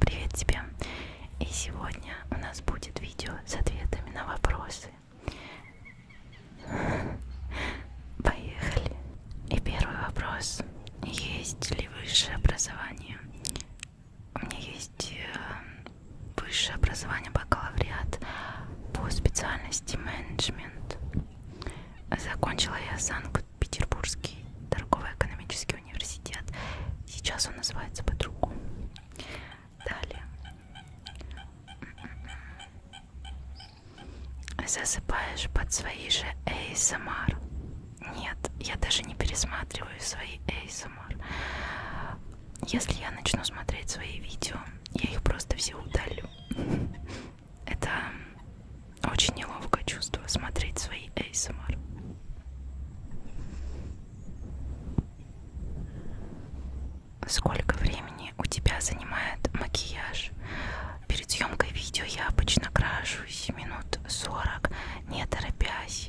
Привет тебе! И сегодня у нас будет видео с ответами на вопросы. Поехали! И первый вопрос. Есть ли высшее образование? У меня есть э, высшее образование бакалавриат по специальности менеджмент. Закончила я Санкт Петербургский торгово-экономический университет. Сейчас он называется по-другому. Далее. Засыпаешь под свои же ASMR. Нет, я даже не пересматриваю свои ASMR. Если я начну смотреть свои видео, я их просто все удалю. Это очень неловко чувство смотреть свои ASMR. Сколько времени у тебя занимает макияж? Перед съемкой видео я обычно крашусь минут 40, не торопясь,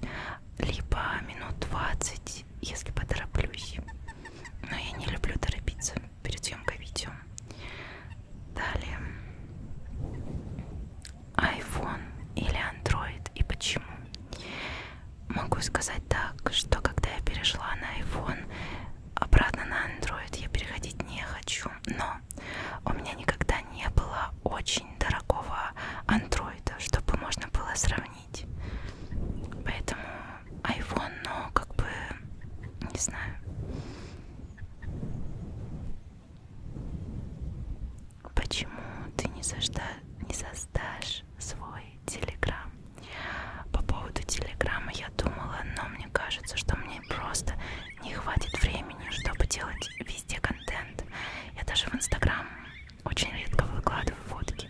либо минут 20, если потороплюсь. Но я не люблю торопиться перед съемкой видео. Далее iPhone или Android и почему? Могу сказать так, что когда я перешла на iPhone, обратно на Android я переходить не хочу, но у меня никогда не было очень дорогого Android, чтобы можно было сравнить. Поэтому iPhone, ну, как бы, не знаю. Почему ты не, сожда... не создашь свой телеграм? По поводу телеграмма я думала, но мне кажется, что мне просто не хватит времени, чтобы делать везде контент. Я даже в инстаграм очень редко выкладываю фотки.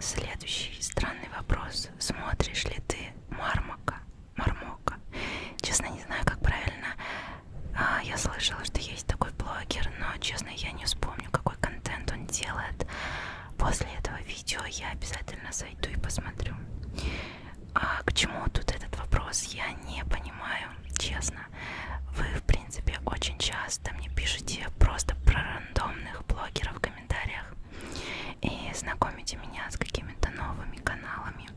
Следующий странный вопрос. Смотришь ли ты Мармака? Мармока. Честно, не знаю, как правильно. А, я слышала, что есть такой блогер, но, честно, я не вспомню, какой контент он делает. После этого видео я обязательно зайду и посмотрю. А к чему тут этот вопрос, я не понимаю, честно. Вы, в принципе, очень часто мне пишете просто про рандомных блогеров в комментариях и знакомите меня с какими-то новыми каналами.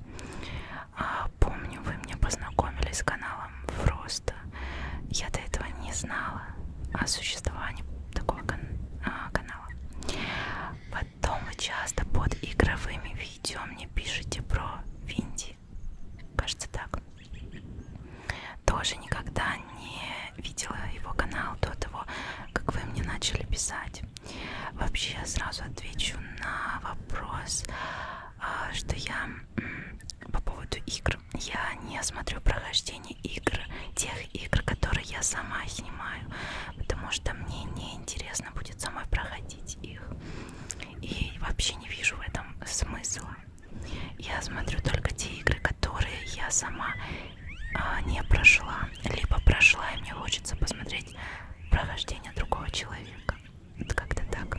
А, помню, вы меня познакомили с каналом Фроста. Я до этого не знала о существовании такого кан а, канала. Потом вы часто под игровыми видео мне пишете про Винди. Кажется так. Тоже никогда не видела его канал до того, как вы мне начали писать. Вообще я сразу отвечу на вопрос, а, что я по поводу игр. Я не смотрю прохождение игр, тех игр, которые я сама снимаю, потому что мне не интересно будет самой проходить их. И вообще не вижу в этом смысла. Я смотрю только те игры, которые я сама а, не прошла, либо прошла, и мне хочется посмотреть прохождение другого человека. Это как-то так.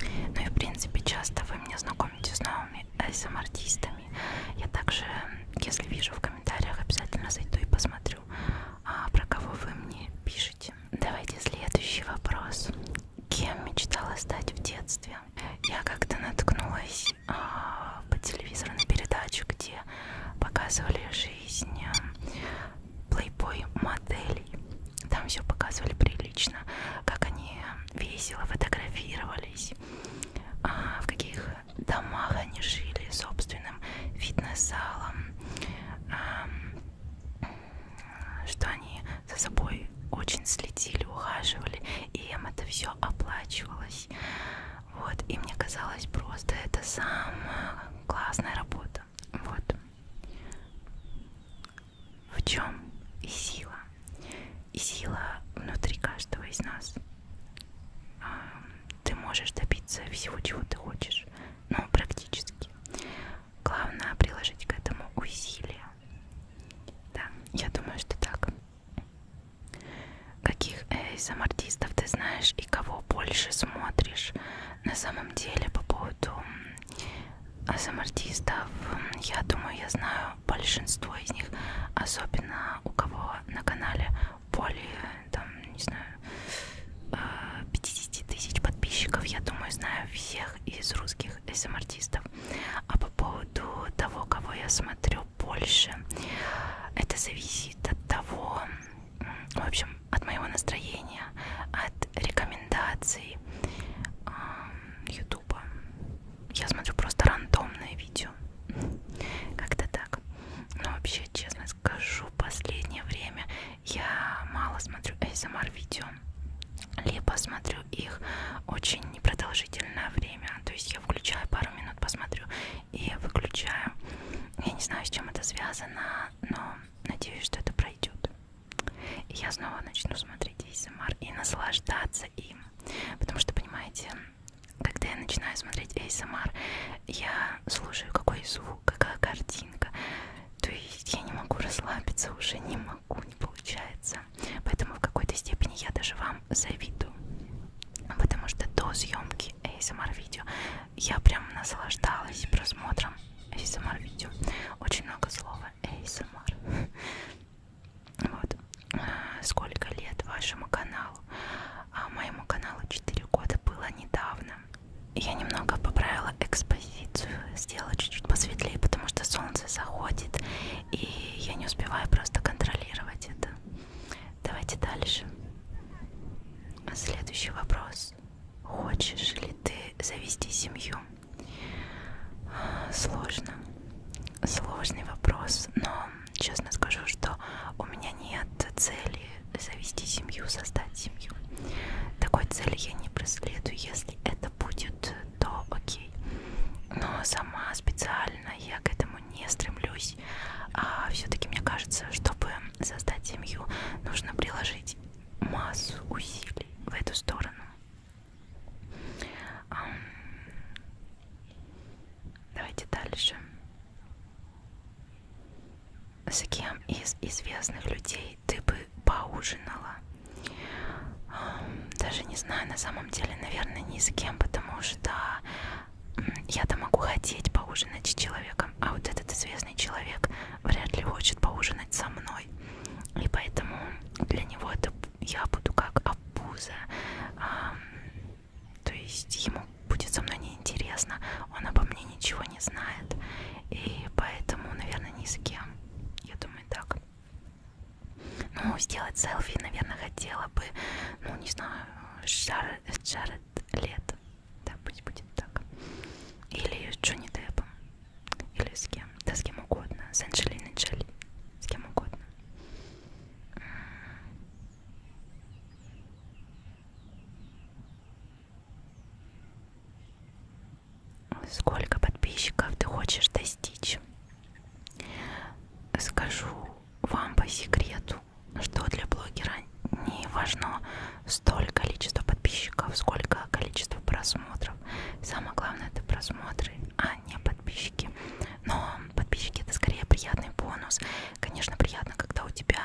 Ну и в принципе часто вы меня знакомите с новыми SM-артистами. Эм Я также, если вижу в комментариях, обязательно зайду и посмотрю, а, про кого вы мне пишете. Давайте следующий вопрос. Кем мечтала стать в детстве? Я как-то наткнулась а, по телевизору на передачу, где где показывали жизнь э, плейбой моделей. Там все показывали прилично, как они весело фотографировались, а, в каких домах они жили, собственным фитнес-залом, что они за собой очень следили, ухаживали, и им это все оплачивалось. Вот, и мне казалось просто это самая классная работа. Вот. В чем и сила? И сила внутри каждого из нас. А, ты можешь добиться всего, чего ты хочешь. Ну, практически. Главное приложить к этому усилия. Да, я думаю, что так. Каких ASM-артистов ты знаешь и кого больше смотришь? На самом деле, по поводу ASM-артистов, я думаю, я знаю большинство из них, особенно у кого на канале более, там, не знаю, 50 э, тысяч подписчиков, я думаю, знаю всех из русских ASM-артистов. А по поводу того, кого я смотрю, люблю больше. Это зависит от того, в общем, от моего настроения, от рекомендаций Ютуба. Я смотрю просто рандомные видео. Как-то так. Но вообще, честно скажу, последнее время я мало смотрю ASMR видео. Либо смотрю их очень непродолжительное время. То есть я включаю пару минут, посмотрю и выключаю. Я не знаю, с чем это связано, но надеюсь, что это пройдет. И я снова начну смотреть ASMR и наслаждаться им. Потому что, понимаете, когда я начинаю смотреть ASMR, я слушаю, какой звук, какая картинка. То есть я не могу расслабиться уже, не могу, не получается. Поэтому в какой-то степени я даже вам завидую. Потому что до съемки такие эм ASMR-видео. Я прям наслаждалась просмотром ASMR-видео. Эм Очень много слова эм ASMR. Вот. А, сколько лет вашему каналу? А моему каналу 4 года было недавно. Я немного поправила экспозицию, сделала чуть-чуть посветлее, потому что солнце заходит, и я не успеваю просто контролировать это. Давайте дальше. Следующий вопрос. Хочешь ли ты завести семью? Сложно. Сложный вопрос, но честно скажу, что у меня нет цели завести семью, создать семью. Такой цели я не преследую. Если это будет, то окей. Но сама специально я к этому не стремлюсь здесь. А все-таки мне кажется, чтобы создать семью, нужно приложить массу усилий в эту сторону. Давайте дальше. С кем из известных людей ты бы поужинала? Даже не знаю, на самом деле, наверное, ни с кем, потому что я-то могу хотеть поужинать с человеком, а вот этот известный человек вряд ли хочет поужинать со мной. И поэтому для него это я буду как обуза. А, то есть ему будет со мной неинтересно, он обо мне ничего не знает. И поэтому, наверное, ни с кем. Я думаю, так. Ну, сделать селфи, наверное, хотела бы, ну, не знаю, Шаред Лет. Да, пусть будет так. Или с Джонни Деппом. Или с кем? Да с кем угодно. С Анджелиной Джоли. С кем угодно. Сколько подписчиков ты хочешь достичь? Скажу вам по секрету что для блогера не важно столь количество подписчиков, сколько количество просмотров. Самое главное это просмотры, а не подписчики. Но подписчики это скорее приятный бонус. Конечно, приятно, когда у тебя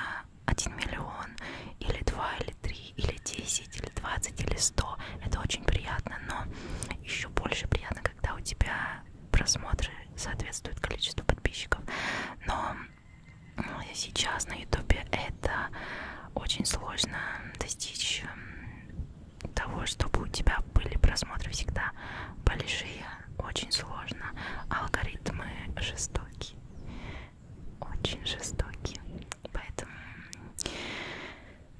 1 миллион, или 2, или 3, или 10, или 20, или 100. Это очень приятно, но еще больше приятно, когда у тебя просмотры соответствуют количеству подписчиков. Но а сейчас на ютубе это очень сложно достичь того, чтобы у тебя были просмотры всегда большие, очень сложно. Алгоритмы жестокие, очень жестокие. Поэтому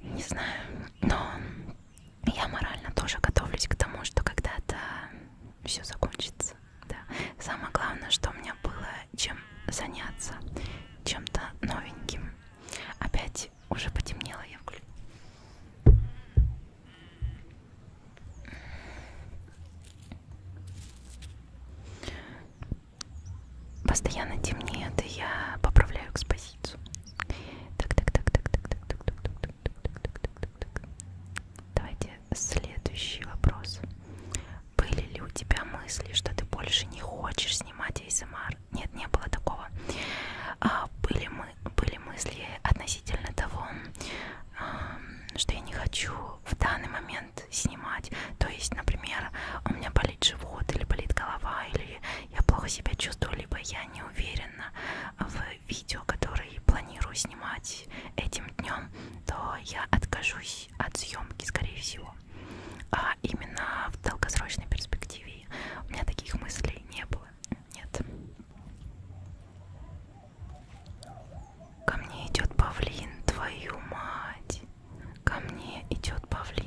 не знаю, но я морально тоже готовлюсь к тому, что когда-то все закончится да. Самое главное, что у меня было чем заняться, чем-то новеньким. Опять уже потемнело, я вклю. Постоянно темнеет, и я поправляю экспозицию. Так, так, так, так, так, так, так, так, так, так, так, так, так, так, так. Давайте следующий вопрос. Были ли у тебя мысли, что ты больше не хочешь снимать ASMR? Нет, не было такого. А, были, мы, были мысли относительно того, а, что я не хочу в данный момент снимать. То есть, например, у меня болит живот или болит голова, или я плохо себя чувствую, либо я не уверена в видео, которое который планирую снимать этим днем, то я откажусь от съемки, скорее всего. А именно в долгосрочной перспективе у меня таких мыслей не было. Нет. Ко мне идет павлин, твою мать. Ко мне идет павлин.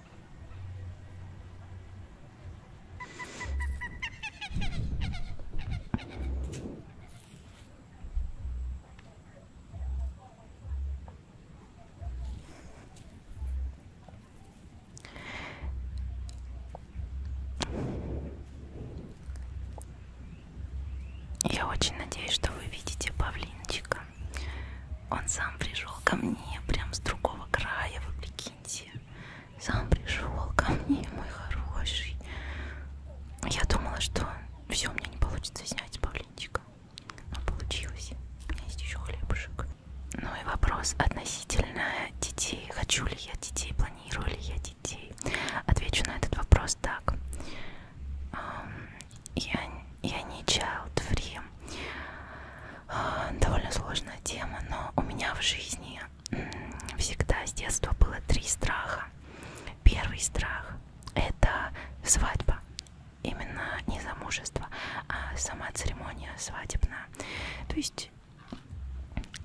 Я очень надеюсь, что вы видите павлинчика. Он сам пришел ко мне прям с другого края, вопреки. Макинти сам пришел ко мне, мой хороший. Я думала, что все у меня не получится снять с павлинчика. Но получилось. У меня есть еще хлебушек. Ну и вопрос относительно детей. Хочу ли я детей, планирую ли я детей? Отвечу на этот вопрос так. Я, я не child free довольно сложная тема, но у меня в жизни всегда с детства было три страха. Первый страх это свадьба, именно не замужество, а сама церемония свадебная. То есть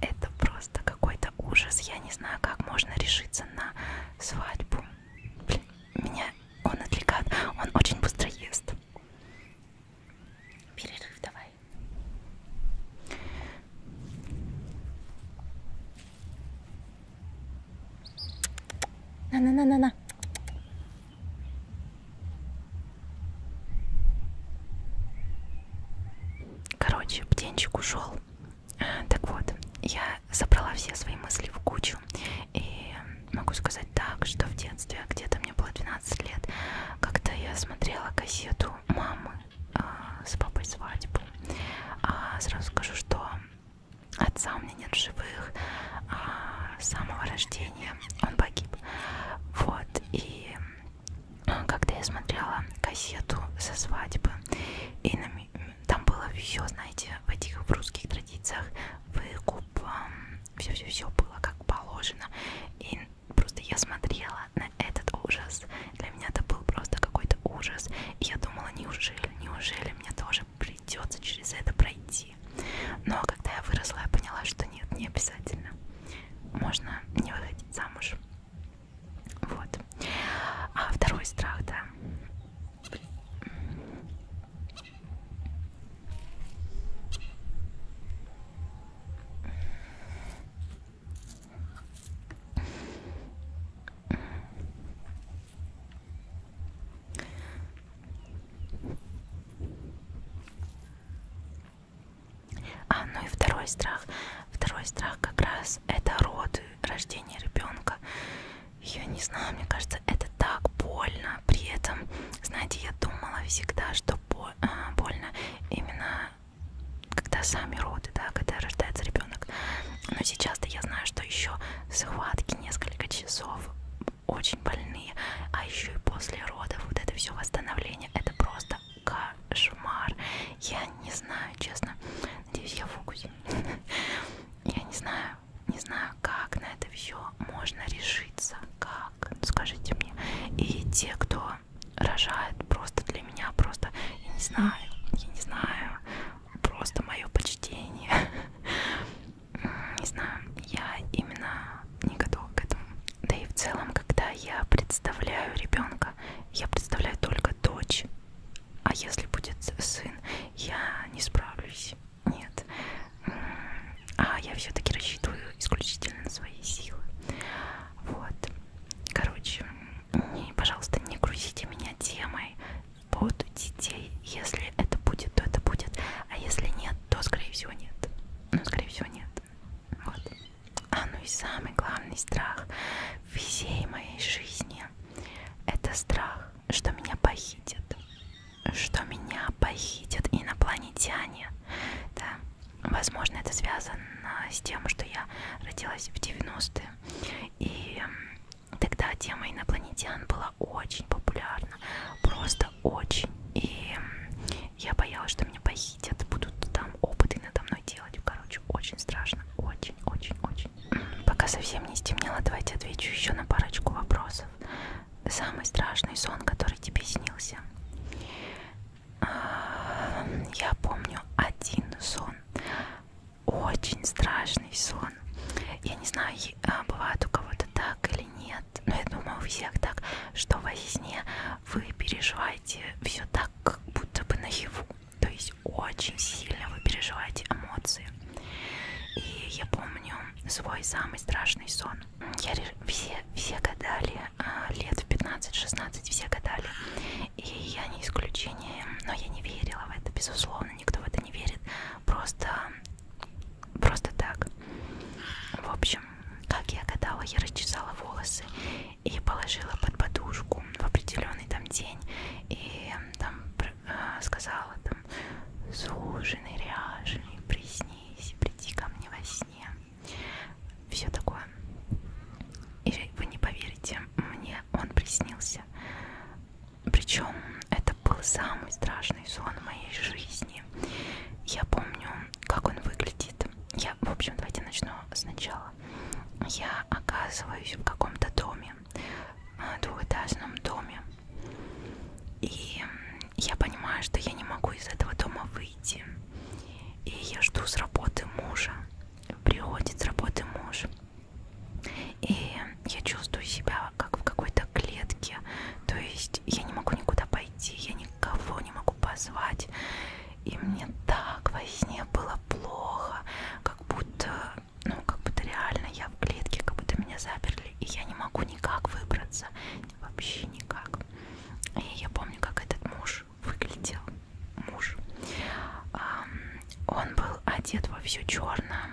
это просто какой-то ужас. Я не знаю, как можно решиться на свадьбу. Блин, меня он отвлекает, он очень быстро ест. Перерыв давай. На-на-на-на-на. Короче, птенчик ушел. Так вот, я собрала все свои мысли в кучу. И могу сказать так, что в детстве, где-то мне было 12 лет, когда я смотрела газету мамы а, с папой свадьбу, а, сразу скажу, что отца у меня нет в живых, а, с самого рождения он погиб. Вот, и а, когда я смотрела газету со свадьбы, и на, там было все, знаете, в этих в русских традициях, выкуп, все-все-все было как положено. И Просто я смотрела на этот ужас. Для меня это был просто какой-то ужас. И я думала, неужели, неужели мне тоже придется через это пройти. Но когда я выросла, я поняла, что нет, не обязательно. Можно не выходить замуж. Вот. А второй страх, да. А, ну и второй страх. Второй страх как раз это роды, рождение ребенка. Я не знаю, мне кажется, это так больно. При этом, знаете, я думала всегда, что боль Э, больно именно когда сами роды, да, когда рождается ребенок. Но сейчас-то я знаю, что еще схватки несколько часов очень больные, а еще и после родов вот это все восстановление, это просто кошмар. Я не знаю, честно. Надеюсь, я в фокусе. Я не знаю, не знаю, как на это все можно решиться, как так? Ну, скажите мне. И те, кто рожает просто для меня, просто, я не знаю, я не знаю, просто мое почтение. Не знаю, я именно не готова к этому. Да и в целом, когда я представляю ребенка, я представляю только дочь. А если будет сын, я не справлюсь. Нет, а я все-таки рассчитываю исключительно на свои силы. Вот. Короче, не, пожалуйста, не грузите меня темой под детей. Если это будет, то это будет. А если нет, то скорее всего нет. Ну, скорее всего, нет. Вот. А ну и самый главный страх всей моей жизни это страх, что меня похитят. Что меня похитят инопланетяне. Да. Возможно, это связано с тем, что я родилась в 90-е. И тогда тема инопланетян была очень популярна. Просто очень. И я боялась, что меня похитят, будут там опыты надо мной делать. Короче, очень страшно. Очень, очень, очень. Пока совсем не стемнело, давайте отвечу еще на парочку вопросов. Самый страшный сон, который тебе снился я помню один сон, очень страшный сон. Я не знаю, а, бывает у кого-то так или нет, но я думаю у всех так, что во сне вы переживаете все так, как будто бы наяву. То есть очень сильно вы переживаете эмоции. И я помню свой самый страшный сон телефон. Я реш... все, все гадали, а, лет в 15-16 все гадали, и я не исключение, но я не верила в это, безусловно, никто в это не верит, просто, просто так. В общем, как я гадала, я расчесала волосы и положила под подушку в определенный там день, и там э, сказала там, служенный, ряженый, приснись, приди ко мне во сне все такое. И вы не поверите, мне он приснился. Причем это был самый страшный сон в моей жизни. Я помню, как он выглядит. Я, в общем, давайте начну сначала. Я оказываюсь в каком-то доме, э, двухэтажном доме. И я понимаю, что я не могу из этого дома выйти. И я жду с работы мужа. Приходит с работы муж. И я чувствую себя как в какой-то клетке. То есть я не могу никуда пойти, я никого не могу позвать. И мне так во сне было плохо, как будто, ну, как будто реально я в клетке, как будто меня заперли, и я не могу никак выбраться, вообще никак девушек. И я помню, как этот муж выглядел. Муж. Он был одет во все черное.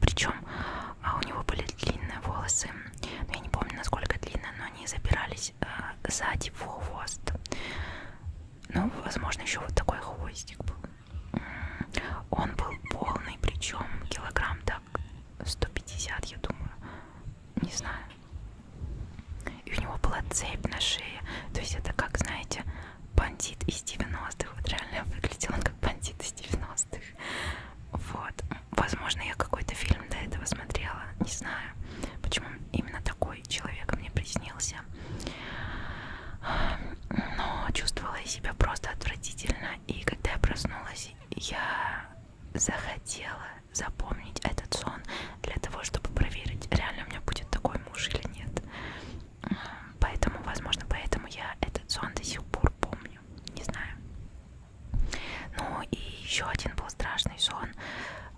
Причем а у него были длинные волосы. Я не помню, насколько длинные, но они забирались э, сзади в хвост. Ну, возможно, еще вот такой хвостик был. Он был полный, причем килограмм так 150, я думаю не знаю. И у него была цепь на шее. То есть это как, знаете, бандит из 90-х. Вот реально выглядел он как бандит из 90-х. Вот. Возможно, я какой-то фильм до этого смотрела. Не знаю, почему именно такой человек мне приснился. Но чувствовала я себя просто отвратительно. И когда я проснулась, я захотела запомнить этот сон для того, чтобы проверить, реально у меня будет такой муж или нет. Поэтому, возможно, поэтому я этот сон до сих пор помню. Не знаю. Ну и еще один был страшный сон.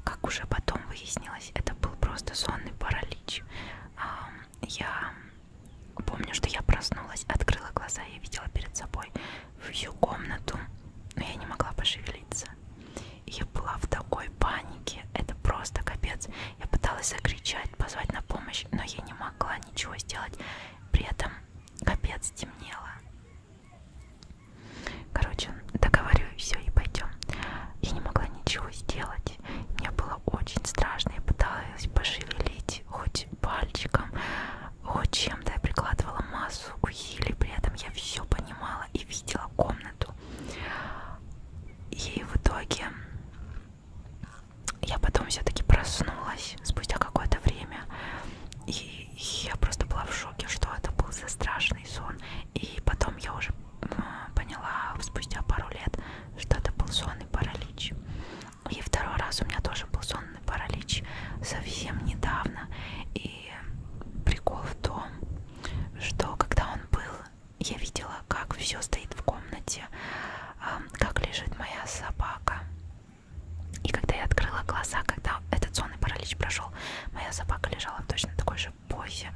Как уже потом выяснилось, это был просто сонный паралич. Я помню, что я проснулась, открыла глаза и видела перед собой в ее комнату, но я не могла пошевелиться. Я была в такой панике, это просто капец. Я пыталась закричать, позвать на помощь, но я не могла ничего сделать. При этом капец темнело. Короче, договорю и все, и пойдем. Я не могла ничего сделать. Мне было очень страшно. Я пыталась пошевелить хоть пальчиком, о, чем-то я прикладывала массу усилий, при этом я все понимала и видела комнату. И в итоге я потом все-таки проснулась спустя какое-то время. И я просто была в шоке, что это был за страшный сон. И потом я уже поняла спустя пару лет, что это был сонный паралич. И второй раз у меня тоже был сон сонный паралич совсем недавно. И прикол в том, что когда он был, я видела, как все стоит в комнате, как лежит моя собака. И когда я открыла глаза, когда этот сонный паралич прошел, моя собака лежала в точно такой же позе,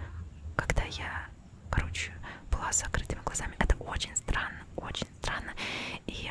когда я, короче, была с закрытыми глазами. Это очень странно, очень странно. И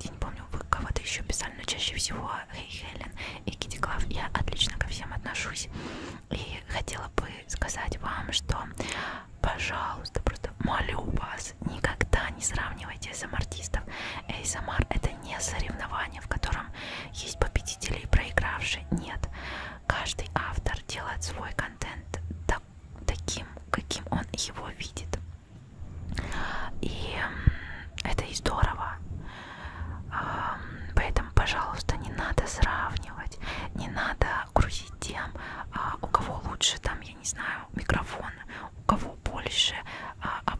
я не помню, вы кого-то еще писали, но чаще всего Хей Хелен и Китти Клав. Я отлично ко всем отношусь. И хотела бы сказать вам, что, пожалуйста, просто молю вас, никогда не сравнивайте SM-артистов. Эм ASMR эм это не соревнование, в котором есть победители и проигравшие. Нет. Каждый автор делает свой контент так, таким, каким он его видит. И это и здорово. Поэтому, пожалуйста, не надо сравнивать, не надо грузить тем, а, у кого лучше, там, я не знаю, микрофон, у кого больше а, а,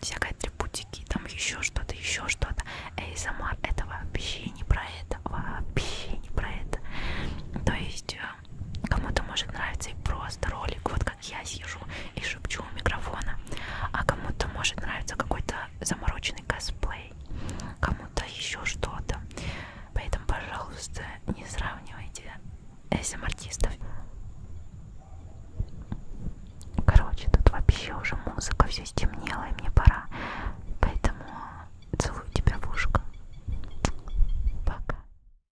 всякой атрибутики, там еще что-то, еще что-то. Эй, Самар, это вообще не про это, вообще не про это. То есть э, кому-то может нравиться и просто ролик, вот как я сижу и шепчу у микрофона, а кому-то может нравиться какой-то замороченный косплей, кому-то еще что-то. Поэтому, пожалуйста, не сравнивайте SM эм артистов. Короче, тут вообще уже музыка все стемнела, и мне пора. Поэтому целую тебя в ушко. Пока.